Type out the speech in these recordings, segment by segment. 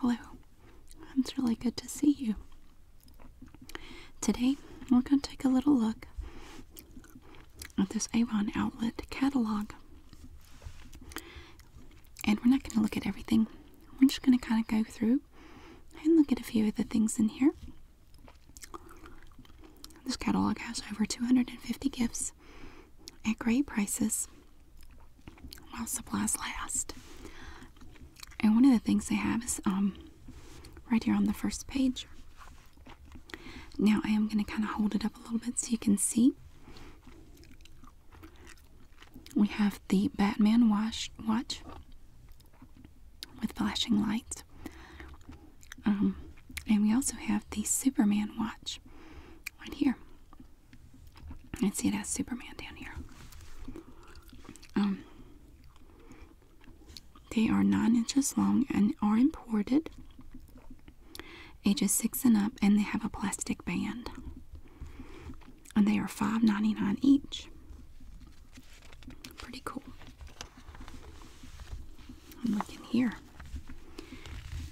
Hello, it's really good to see you. Today, we're going to take a little look at this Avon Outlet catalog. And we're not going to look at everything, we're just going to kind of go through and look at a few of the things in here. This catalog has over 250 gifts at great prices while supplies last. And one of the things they have is um, right here on the first page. Now I am going to kind of hold it up a little bit so you can see. We have the Batman watch, with flashing lights. Um, and we also have the Superman watch right here I see, it has Superman down here. Um, they are nine inches long and are imported, ages six and up, and they have a plastic band. And they are five ninety nine each. Pretty cool. And look in here.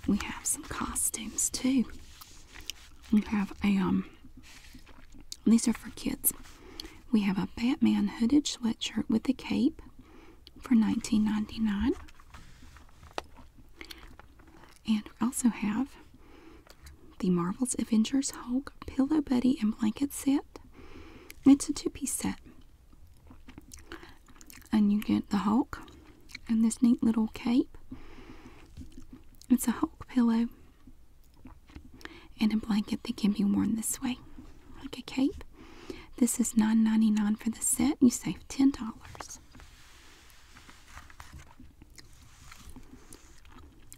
We have some costumes too. We have a um these are for kids. We have a Batman hooded sweatshirt with a cape for nineteen ninety nine. And we also have the Marvel's Avengers Hulk Pillow Buddy and Blanket set. It's a two piece set. And you get the Hulk, and this neat little cape. It's a Hulk pillow and a blanket that can be worn this way, like a cape. This is $9.99 for the set. You save $10.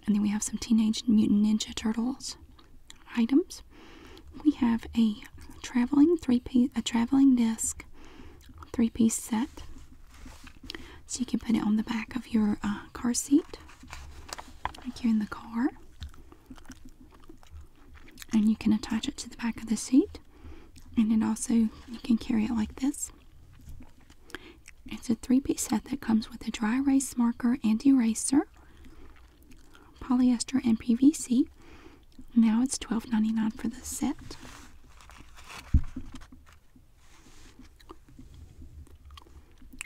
And then we have some Teenage Mutant Ninja Turtles items. We have a traveling three piece, a traveling desk three piece set. So you can put it on the back of your uh, car seat, like you're in the car. And you can attach it to the back of the seat. And it also, you can carry it like this. It's a three piece set that comes with a dry erase marker and eraser, polyester, and PVC. Now it's $12.99 for the set.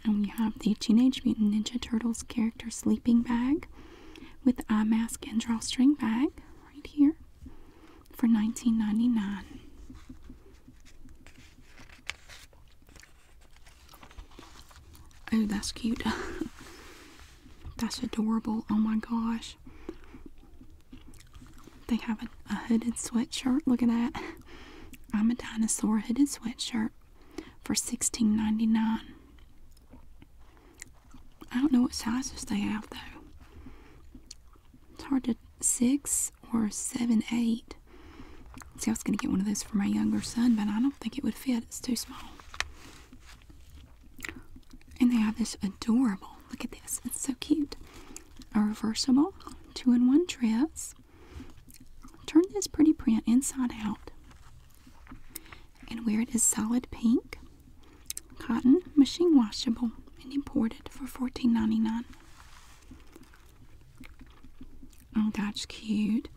And we have the Teenage Mutant Ninja Turtles character sleeping bag with eye mask and drawstring bag right here for $19.99. Oh, that's cute. that's adorable. Oh my gosh. They have a, hooded sweatshirt. Look at that. I'm a dinosaur hooded sweatshirt for $16.99. I don't know what sizes they have though. It's hard to six or seven, eight. See, I was going to get one of those for my younger son, but I don't think it would fit. It's too small. And they have this adorable, look at this, it's so cute a reversible two-in-one dress. Turn this pretty print inside out and wear it as solid pink, cotton, machine washable, and imported for $14.99. Oh, that's cute.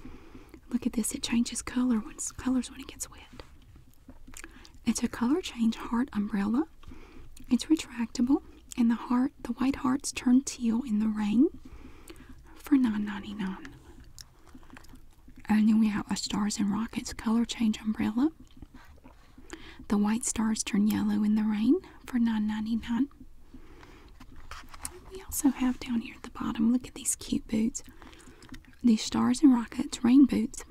Look at this, it changes color colors when it gets wet. It's a color change heart umbrella. It's retractable and the heart the white hearts turn teal in the rain for 9.99. And then we have a Stars and Rockets color change umbrella. The white stars turn yellow in the rain for 9.99. We also have down here at the bottom, look at these cute boots. These Stars and Rockets rain boots.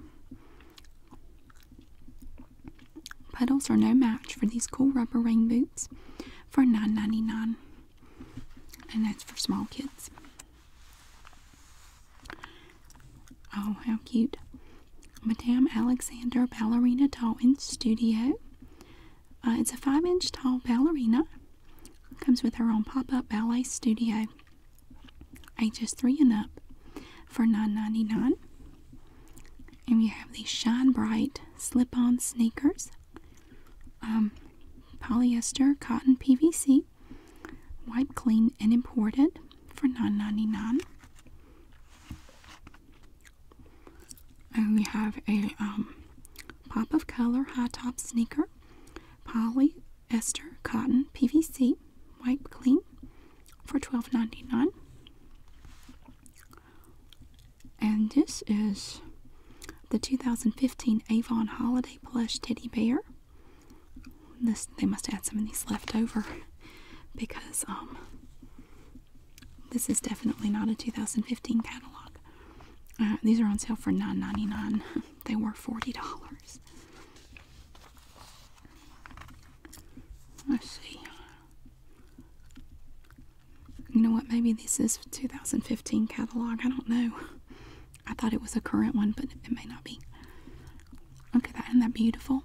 Puddles are no match for these cool rubber rain boots for $9.99, and that's for small kids. Oh, how cute! Madame Alexander Ballerina Doll in Studio. Uh, it's a 5 inch tall ballerina. Comes with her own pop up ballet studio, ages 3 and up for $9.99. And we have these Shine Bright slip-on sneakers. Um, polyester, cotton, PVC, wipe clean and imported for $9.99. And we have a um, pop of color high top sneaker, polyester, cotton, PVC, wipe clean for $12.99 and this is the 2015 avon holiday plush teddy bear this they must have some of these left over because um this is definitely not a 2015 catalog uh, these are on sale for $9.99 they were $40 Let's see. You know what? Maybe this is 2015 catalog. I don't know. I thought it was a current one, but it may not be. Look at that. Isn't that beautiful?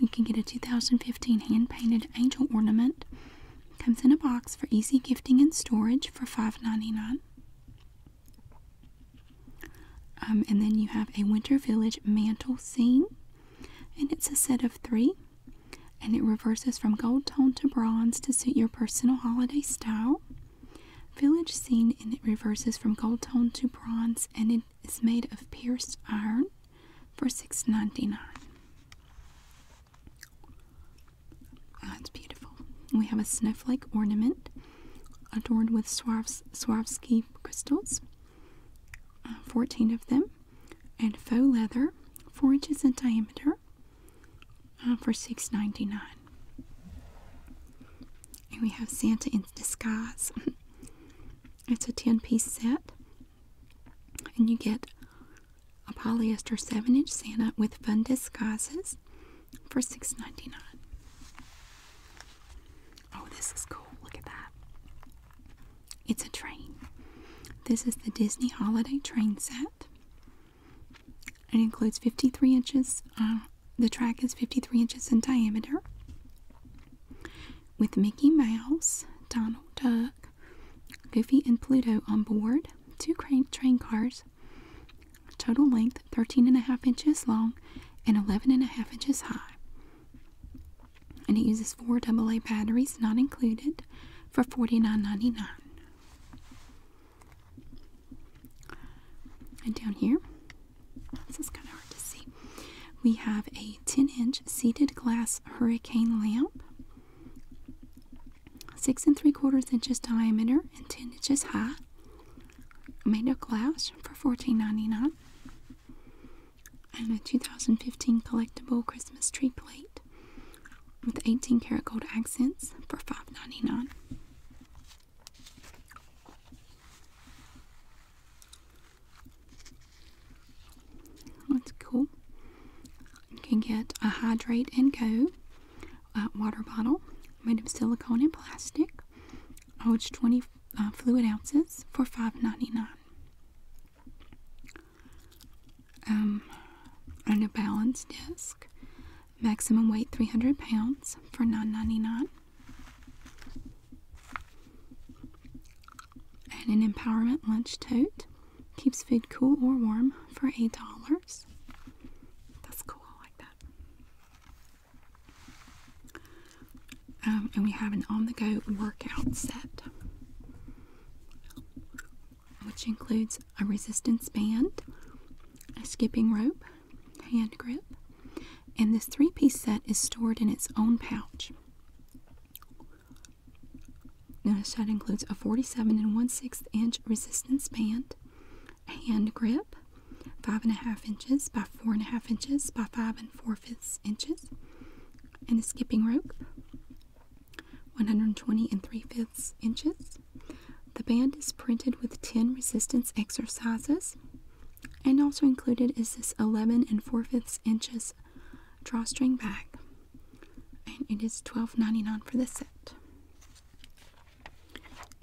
You can get a 2015 hand painted angel ornament. Comes in a box for easy gifting and storage for $5.99. Um, and then you have a Winter Village mantle scene, and it's a set of three, and it reverses from gold tone to bronze to suit your personal holiday style. Village scene, and it reverses from gold tone to bronze, and it is made of pierced iron for six ninety nine. Oh, that's beautiful. We have a like ornament adorned with Swarovski crystals, uh, 14 of them, and faux leather, 4 inches in diameter, uh, for $6.99. And we have Santa in Disguise. it's a 10 piece set, and you get a polyester 7 inch Santa with fun disguises for $6.99. Oh, this is cool. Look at that. It's a train. This is the Disney Holiday Train Set. It includes 53 inches. Uh, the track is 53 inches in diameter. With Mickey Mouse, Donald Duck, Goofy, and Pluto on board, two train cars, total length thirteen and a half inches long and eleven and a half inches high. And it uses four AA batteries, not included, for $49.99. And down here, this is kind of hard to see, we have a 10 inch seated glass hurricane lamp, 6 and 3 quarters inches diameter and 10 inches high made of glass for $14.99. And a 2015 collectible Christmas tree plate with 18 karat gold accents for $5.99. That's cool. You can get a hydrate and go uh, water bottle made of silicone and plastic which 20 uh, fluid ounces for $5.99. Um, and a balance disc, maximum weight 300 pounds for $9.99. And an empowerment lunch tote keeps food cool or warm for $8. That's cool, I like that. Um, and we have an on the go workout set, which includes a resistance band, a skipping rope, hand grip, and this three piece set is stored in its own pouch. Now, this set includes a 47 and 1 6 inch resistance band, hand grip, five and a half inches by four and a half inches by five and four fifths inches, and a skipping rope, 120 and three fifths inches. The band is printed with 10 resistance exercises, and also included is this 11 and four fifths inches drawstring bag, and its 12.99 for the set.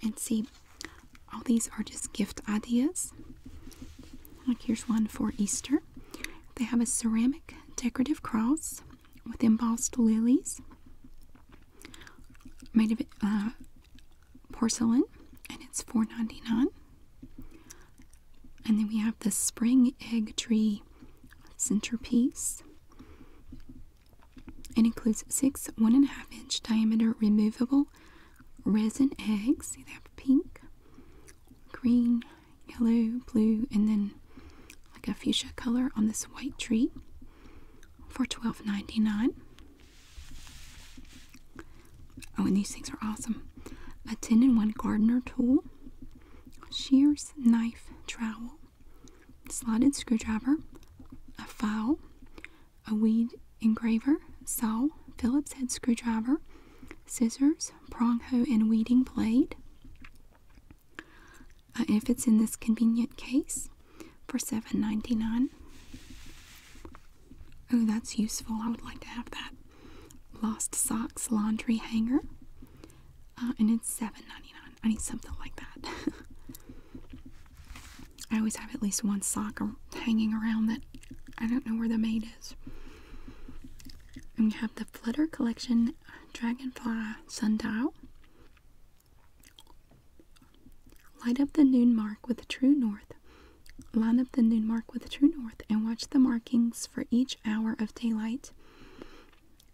And see, all these are just gift ideas. Like here's one for Easter. They have a ceramic decorative cross with embossed lilies made of uh, porcelain, and it's $4.99. And then we have the spring egg tree centerpiece. It includes six one and a half inch diameter removable resin eggs. See they have pink, green, yellow, blue, and then like a fuchsia color on this white tree for $12.99. Oh, and these things are awesome. A 10 in 1 gardener tool, shears, knife, trowel, slotted screwdriver, a file, a weed engraver, saw, Phillips head screwdriver, scissors, prong hoe, and weeding blade. Uh, if it's in this convenient case for $7.99. Oh, that's useful. I would like to have that. Lost socks laundry hanger. Uh, and it's $7.99. I need something like that. I always have at least one sock hanging around that I don't know where the made is. And have the Flutter Collection Dragonfly Sundial. Light up the noon mark with the true north. Line up the noon mark with the true north and watch the markings for each hour of daylight.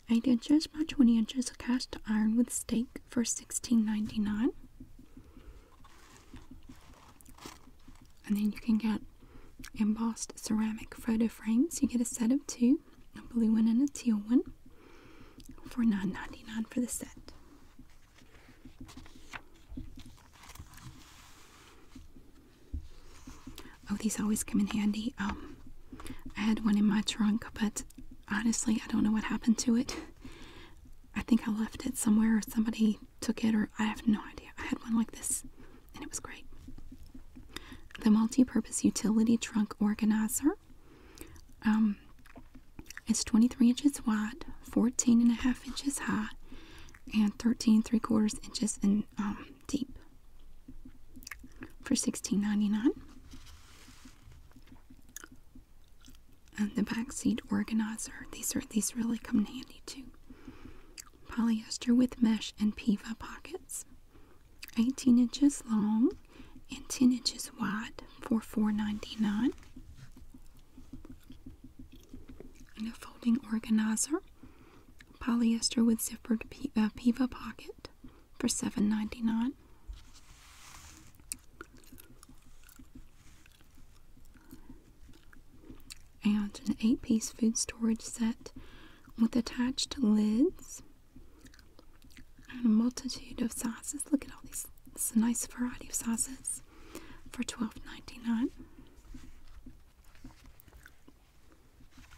I did just buy 20 inches of cast iron with stake for $16.99. And then you can get embossed ceramic photo frames. You get a set of two, a blue one and a teal one, for $9.99 for the set. Oh, these always come in handy. Um, I had one in my trunk, but honestly, I don't know what happened to it. I think I left it somewhere or somebody took it or I have no idea. I had one like this and it was great. The multi-purpose utility trunk organizer. Um, it's 23 inches wide, 14 and a half inches high, and 13 3 quarters inches in um, deep for $16.99 and the backseat organizer. These are these really come handy too. Polyester with mesh and PIVA pockets. 18 inches long and 10 inches wide for $4.99. And a folding organizer. Polyester with zippered PIVA uh, pocket for $7.99 and an eight piece food storage set with attached lids and a multitude of sizes. Look at all these, it's a nice variety of sizes for $12.99.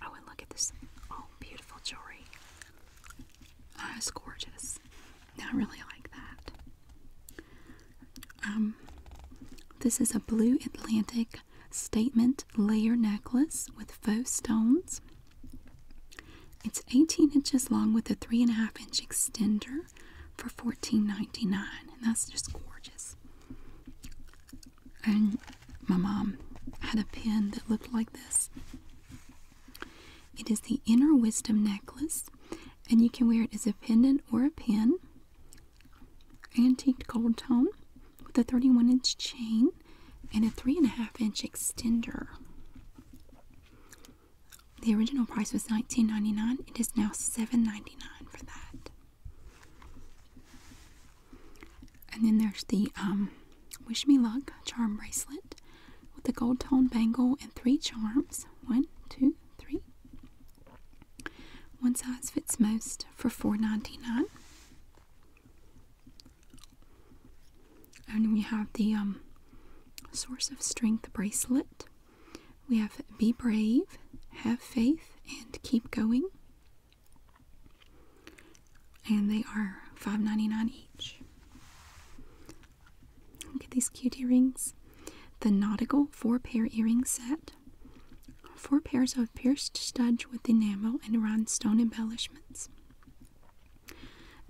Oh, and look at this. Oh, beautiful jewelry. It's gorgeous. I really like that. Um, this is a blue Atlantic statement layer necklace with faux stones. It's 18 inches long with a 3.5 inch extender for $14.99. And that's just gorgeous. And my mom had a pin that looked like this. It is the inner wisdom necklace, and you can wear it as a pendant or a pin. Antiqued gold tone with a 31 inch chain and a 3.5 inch extender. The original price was $19.99. It is now $7.99 for that. And then there's the um, Wish Me Luck charm bracelet with a gold tone bangle and three charms. One, two, three. One size fits most for $4.99. And we have the um, Source of Strength bracelet. We have Be Brave, Have Faith, and Keep Going. And they are $5.99 each. Look at these cute earrings. The nautical four-pair Earrings set. Four pairs of pierced studs with enamel and rhinestone embellishments.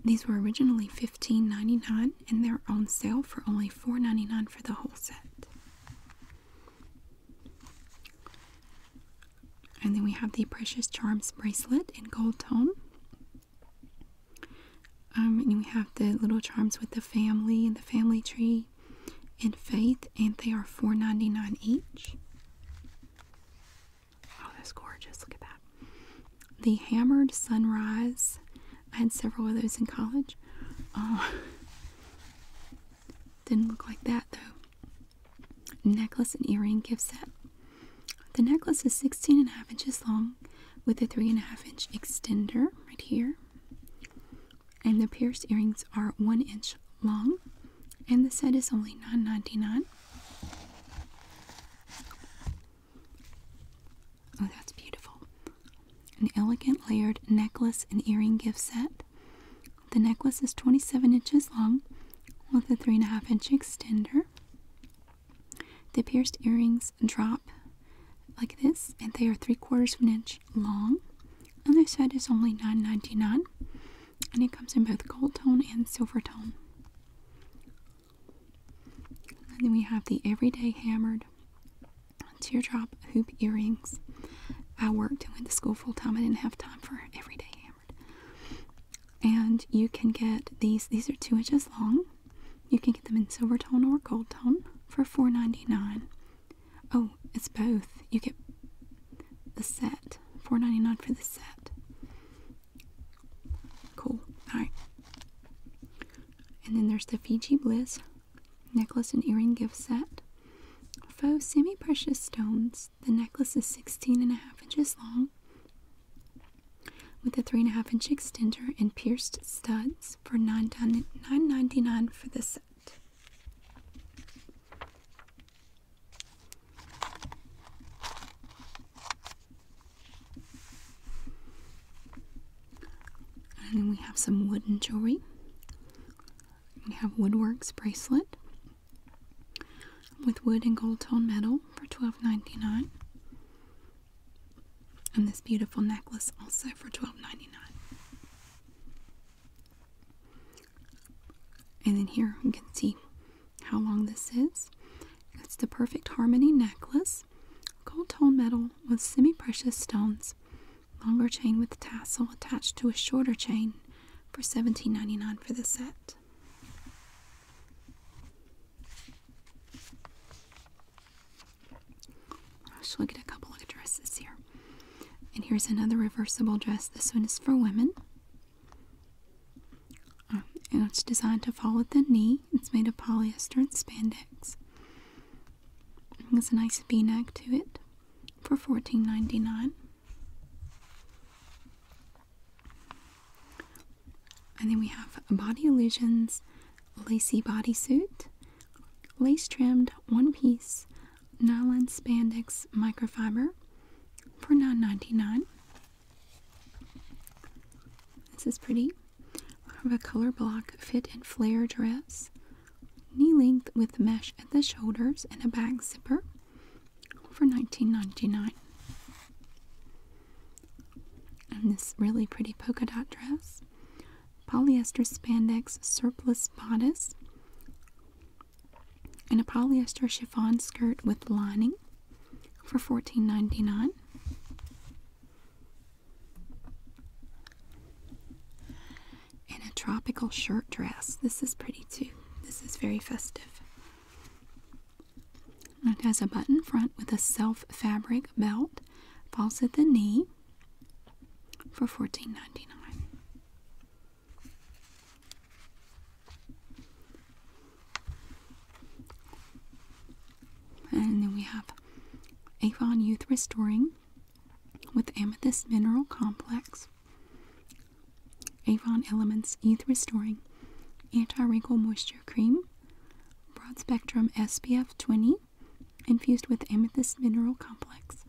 These were originally $15.99 and they're on sale for only $4.99 for the whole set. And then we have the Precious Charms bracelet in gold tone. Um, and we have the little charms with the family and the family tree and faith, and they are $4.99 each. Oh, that's gorgeous. Look at that. The hammered sunrise. I had several of those in college. Oh, didn't look like that though. Necklace and earring gift set. The necklace is 16 and a half inches long with a three and a half inch extender right here. And the pierced earrings are one inch long. And the set is only $9.99. Oh, that's beautiful. An elegant layered necklace and earring gift set. The necklace is 27 inches long with a 3.5 inch extender. The pierced earrings drop like this, and they are three quarters of an inch long. And this set is only $9.99, and it comes in both gold tone and silver tone. And then we have the Everyday Hammered Teardrop Hoop Earrings. I worked and went to school full time. I didn't have time for Everyday Hammered and you can get these these are two inches long you can get them in silver tone or gold tone for $4.99 oh it's both you get the set $4.99 for the set cool all right and then there's the fiji bliss necklace and earring gift set faux semi-precious stones the necklace is 16 and a half inches long with a three and a half inch extender and pierced studs for $9.99 for the set. And then we have some wooden jewelry. We have Woodworks bracelet with wood and gold tone metal for $12.99. And this beautiful necklace also for $12.99. And then here you can see how long this is. It's the Perfect Harmony necklace, gold tone metal with semi precious stones, longer chain with tassel attached to a shorter chain for $17.99 for the set. Let's look at a couple of dresses here. And here's another reversible dress. This one is for women. Um, and it's designed to fall at the knee. It's made of polyester and spandex. It has a nice v-neck to it for $14.99. And then we have Body Illusions Lacy Bodysuit, lace trimmed one piece, nylon spandex microfiber for $9.99. This is pretty. I have a color block fit and flare dress, knee length with mesh at the shoulders and a back zipper for $19.99 and this really pretty polka dot dress, polyester spandex surplus bodice, and a polyester chiffon skirt with lining for $14.99. And a tropical shirt dress. This is pretty too. This is very festive. It has a button front with a self fabric belt, falls at the knee for $14.99. And then we have Avon Youth Restoring with Amethyst Mineral Complex, Avon Elements Youth Restoring Anti Wrinkle Moisture Cream broad spectrum SPF 20 infused with amethyst mineral complex.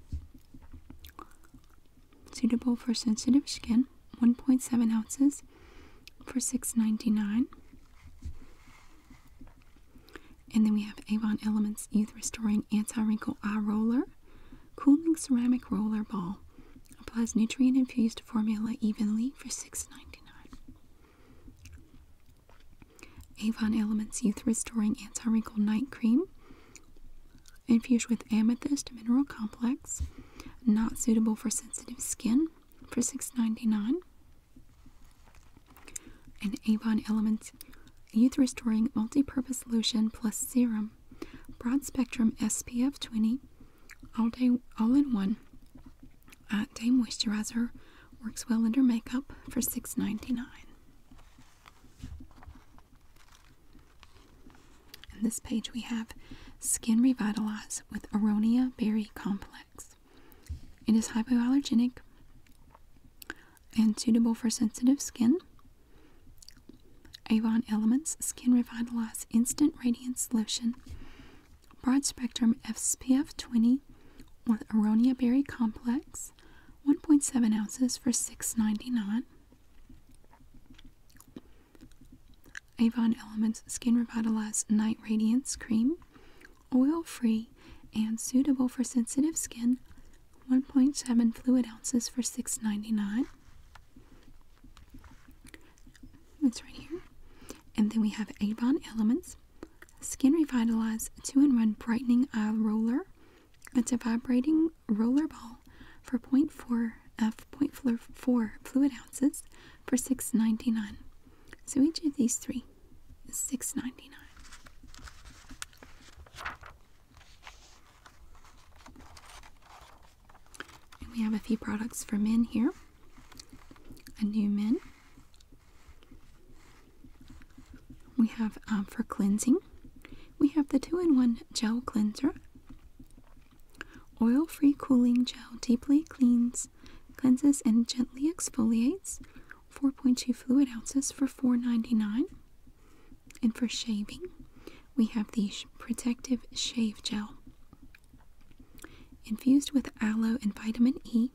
Suitable for sensitive skin, 1.7 ounces for $6.99. And then we have Avon Elements Youth Restoring Anti Wrinkle Eye Roller, Cooling Ceramic Roller Ball. Applies nutrient infused formula evenly for $6.99. Avon Elements Youth Restoring Anti Wrinkle Night Cream, infused with amethyst mineral complex, not suitable for sensitive skin, for $6.99. And Avon Elements Youth Restoring Multi Purpose Lotion Plus Serum, broad spectrum SPF 20, all day all in one uh, day moisturizer works well under makeup for $6.99 on this page we have skin revitalized with aronia berry complex it is hypoallergenic and suitable for sensitive skin avon elements skin Revitalized instant radiance lotion broad spectrum SPF 20 with Aronia Berry Complex, 1.7 ounces for $6.99. Avon Elements Skin Revitalize Night Radiance Cream, oil free and suitable for sensitive skin, 1.7 fluid ounces for $6.99. It's right here. And then we have Avon Elements Skin Revitalize 2 in 1 Brightening Eye Roller. It's a vibrating roller ball for 0.4 uh, f 0.4 fluid ounces for six ninety nine. So each of these three is 6 we have a few products for men here. A new men. We have um, for cleansing. We have the two-in-one gel cleanser. Oil-free cooling gel deeply cleans, cleanses, and gently exfoliates. 4.2 fluid ounces for four ninety nine. And for shaving, we have the protective shave gel. Infused with aloe and vitamin E,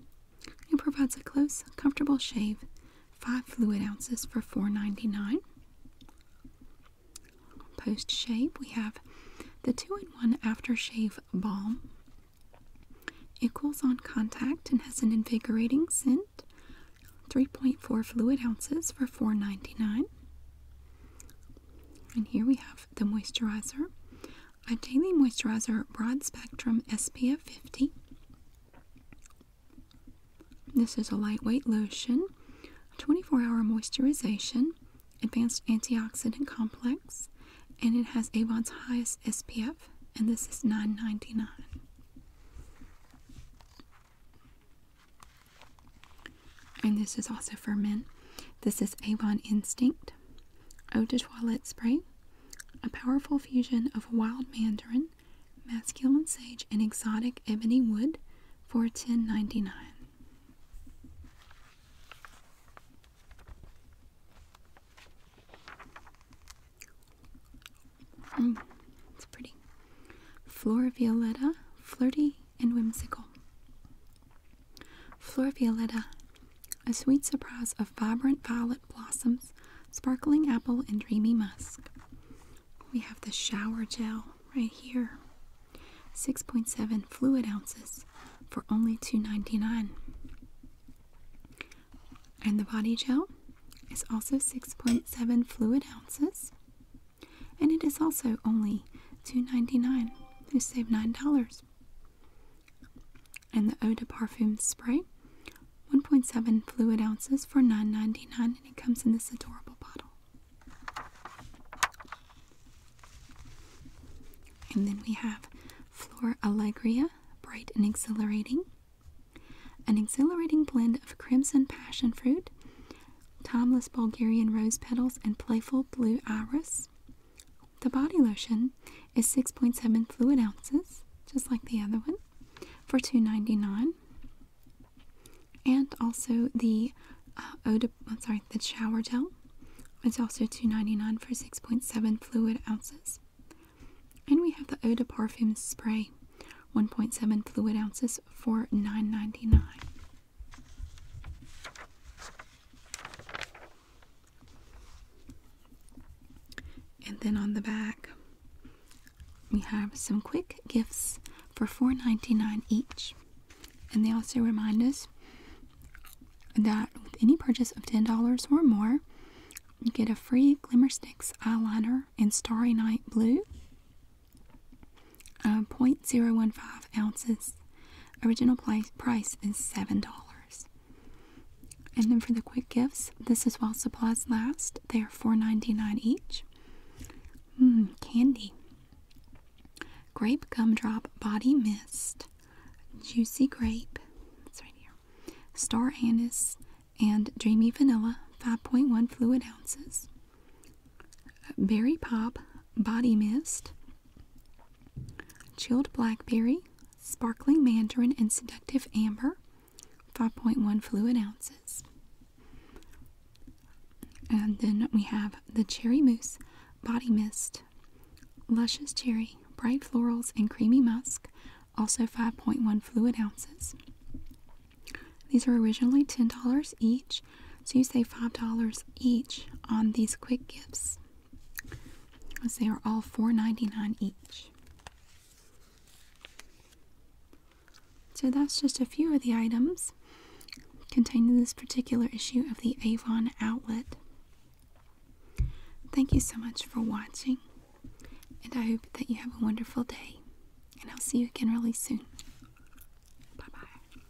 it provides a close, comfortable shave, 5 fluid ounces for four ninety nine. Post shave, we have the 2 in 1 Aftershave Balm. It cools on contact and has an invigorating scent, 3.4 fluid ounces for four ninety nine. And here we have the moisturizer. a daily moisturizer Broad Spectrum SPF 50. This is a lightweight lotion, 24 hour moisturization, advanced antioxidant complex, and it has Avon's highest SPF, and this is 9.99. And this is also for men. This is Avon Instinct, Eau de Toilette Spray, a powerful fusion of wild mandarin, masculine sage, and exotic ebony wood for 10 dollars mm, it's pretty. Flora Violetta, flirty and whimsical. Flor Violetta, a sweet surprise of vibrant violet blossoms, sparkling apple, and dreamy musk. We have the shower gel right here. 6.7 fluid ounces for only two ninety nine. And the body gel is also 6.7 fluid ounces. And it is also only two ninety nine. dollars You save $9 and the eau de parfum spray 1.7 fluid ounces for $9.99 and it comes in this adorable bottle and then we have flor allegria bright and exhilarating an exhilarating blend of crimson passion fruit timeless bulgarian rose petals and playful blue iris the body lotion is 6.7 fluid ounces, just like the other one, for two ninety nine. And also the uh, I'm sorry, the shower gel. It's also two ninety nine for 6.7 fluid ounces. And we have the eau de parfum spray, 1.7 fluid ounces for 9 and then on the back, we have some quick gifts for $4.99 each. And they also remind us that with any purchase of $10 or more, you get a free Glimmer eyeliner in Starry Night Blue. Uh, 0.015 ounces. Original price is $7. And then for the quick gifts, this is while supplies last. They are $4.99 each. Mmm, candy. Grape gumdrop body mist. Juicy grape. It's right here. Star anise and dreamy vanilla, 5.1 fluid ounces. Berry pop body mist, Chilled blackberry, sparkling mandarin, and seductive amber, 5.1 fluid ounces. And then we have the cherry mousse body mist, luscious cherry, bright florals, and creamy musk, also 5.1 fluid ounces. These are originally $10 each, so you save $5 each on these quick gifts. As they are all $4.99 each. So that's just a few of the items contained in this particular issue of the Avon outlet. Thank you so much for watching, and I hope that you have a wonderful day, and I'll see you again really soon. Bye bye.